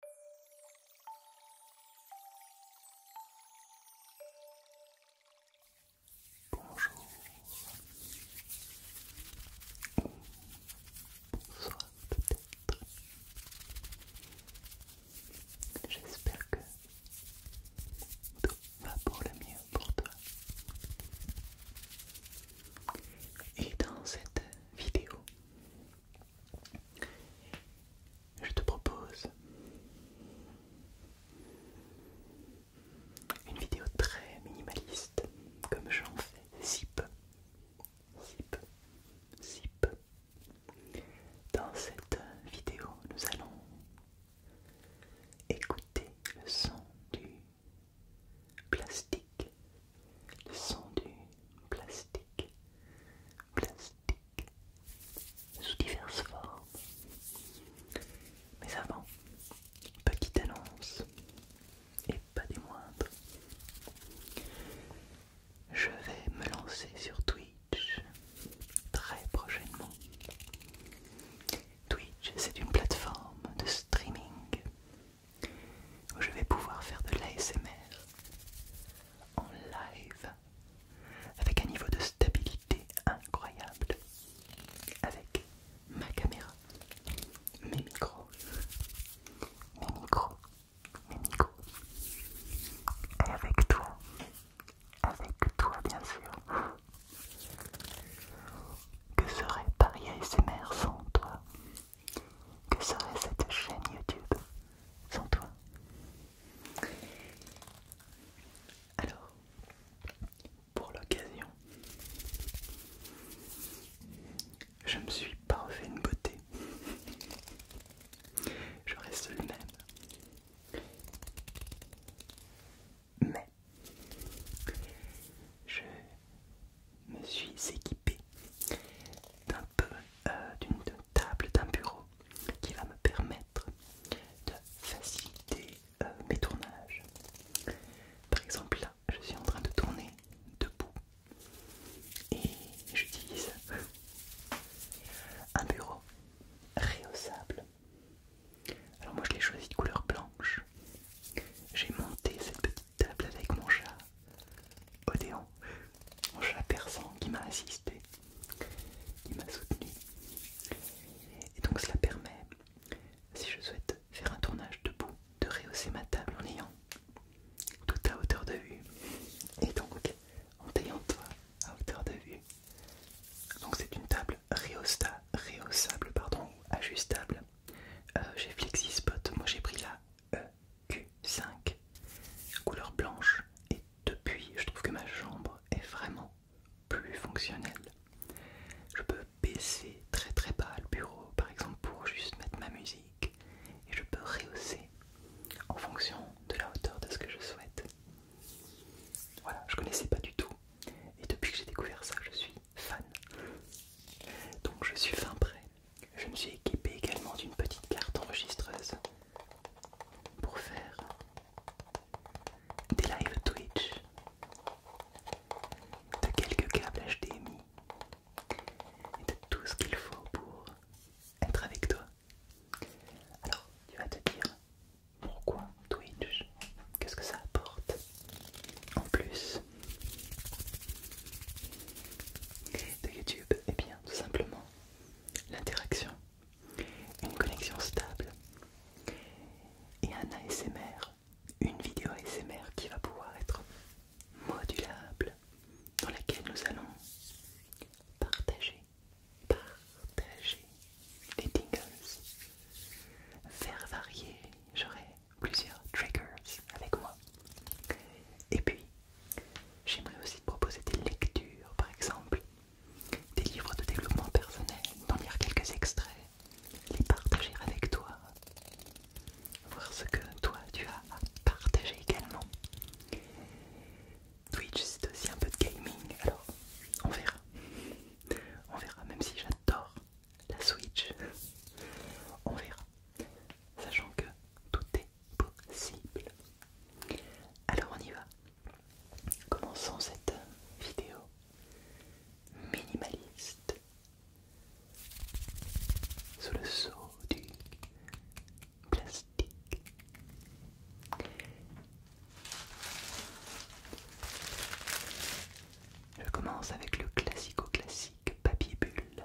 Bonjour bonsoir peut-être. J'espère que tout va pour le mieux pour toi. Et dans cette vidéo, je te propose une vidéo très minimaliste, comme j'en fais si peu, zip. Dans cette vidéo, nous allons écouter le son du plastique le son du plastique, plastique, sous diverses formes. Mais avant, petite annonce, et pas des moindres, je vais me lancer sur Twitch très prochainement. Twitch, c'est une plateforme de streaming où je vais pouvoir faire de l'ASMR en live avec un niveau de stabilité incroyable avec ma caméra, mes micros, mes micros, mes micros et avec toi, avec toi bien sûr. Que serait Paris ASMR sans toi que serait cette chaîne YouTube sans toi Alors, pour l'occasion, je me suis pas refait une beauté. Je reste le même. Mais je me suis équipé d'un peu euh, d'une table, d'un bureau qui va me permettre de faciliter euh, mes tournages. Par exemple là, je suis en train de tourner debout et j'utilise un bureau rehaussable. Alors moi je l'ai choisi de couleur blanche. J'ai monté cette petite table avec mon chat Odéon, mon chat persan qui m'a assisté, qui m'a soutenu. Et donc cela permet, si je souhaite faire un tournage debout, de rehausser ma table en ayant tout à hauteur de vue. Et donc en ayant toi à hauteur de vue. Donc c'est une table rehaussable, réhaussable pardon, ajustable. Euh, j'ai FlexiSpot, moi j'ai pris la euh, Q5, couleur blanche, et depuis je trouve que ma chambre est vraiment plus fonctionnelle. Je peux baisser très très bas le bureau par exemple pour juste mettre ma musique et je peux rehausser en fonction de la hauteur de ce que je souhaite. Voilà, je connaissais pas du tout et depuis que j'ai découvert ça je suis fan. Donc je suis fin prêt je me suis équipé également d'une petite carte enregistreuse pour faire des lives Twitch de quelques câbles HDMI et de tout ce qu'il faut pour être avec toi. Alors, tu vas te dire pourquoi Twitch Qu'est-ce que ça apporte En plus de YouTube et eh bien, tout simplement, l'interaction, une connexion stable et un ASMR, une vidéo ASMR qui va pouvoir être modulable, dans laquelle nous allons partager, partager les tingles, faire varier. j'aurais plusieurs triggers avec moi. Et puis, j'aimerais aussi te proposer des lectures, par exemple, des livres de développement personnel, d'en lire quelques extraits, les partager avec toi, voir ce que toi tu as à partager également. Twitch, c'est aussi un peu de gaming, alors on verra. On verra, même si j'adore la Switch, on verra sachant que tout est possible. Alors on y va. Commençons cette vidéo minimaliste sous le seau du plastique. Je commence avec le classico-classique papier bulle.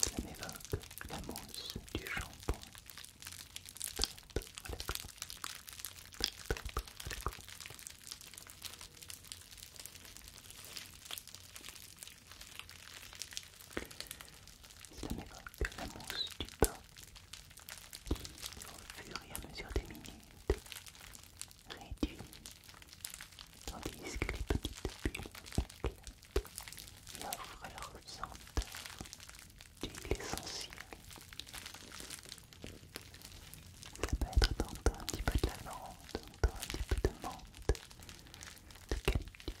Cela m'évoque la mousse du shampoing. Cela m'évoque la mousse du pain qui, au fur et à mesure des minutes, réduit, tandis que les petites bulles éclatent leur senteur l'essentiel. Ça peut être tantôt un petit peu de lavande, tantôt un petit peu de menthe, de calicule.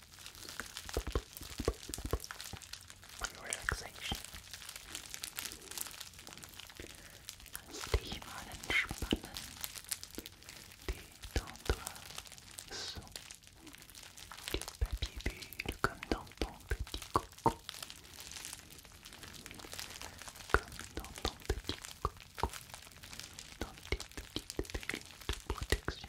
and relaxation. Lass dich mal entspannen. Des dans toi sont du papier bulle comme dans ton petit coco. Comme dans ton petit coco. Dans tes petites bulles de protection.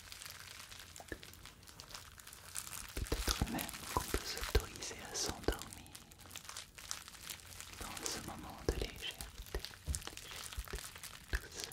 Peut-être même qu'on peut s'autoriser à s'endormir dans ce moment de légèreté, douceur, douceur.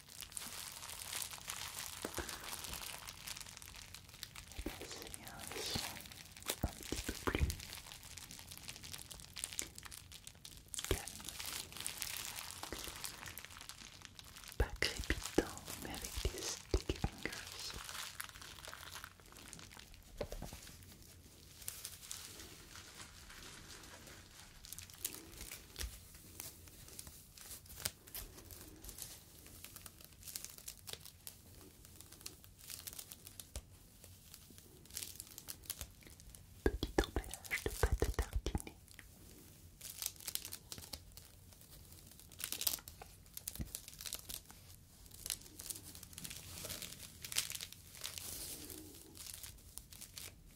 Et bien, c'est bien le son un petit peu plus calme, sticky fingers. Petit emballage de pâte à tartiner.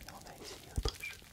Et on va essayer autre chose.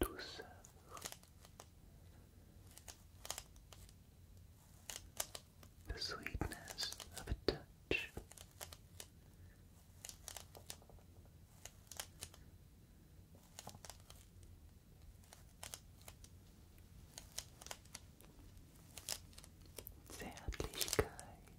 douceur the sweetness of a touch Zärtlichkeit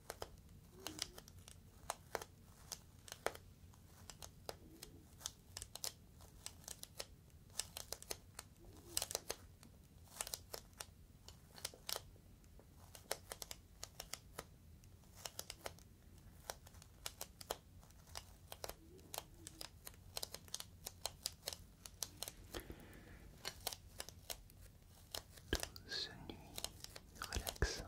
Douce nuit relaxante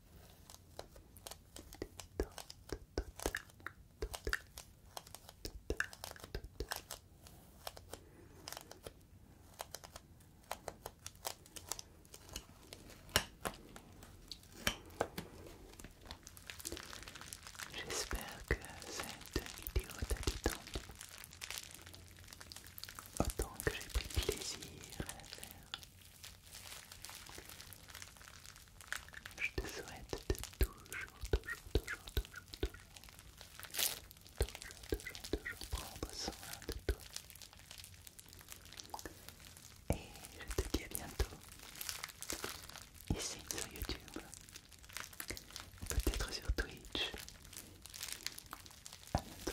J'espère que cette vidéo t'a détendu autant que j'ai pris plaisir à la faire. Je te souhaite toujours, toujours, toujours, toujours, toujours, toujours, toujours, toujours prendre soin de toi. Et je te dis à bientôt, ici sur YouTube, peut-être sur Twitch. A bientôt.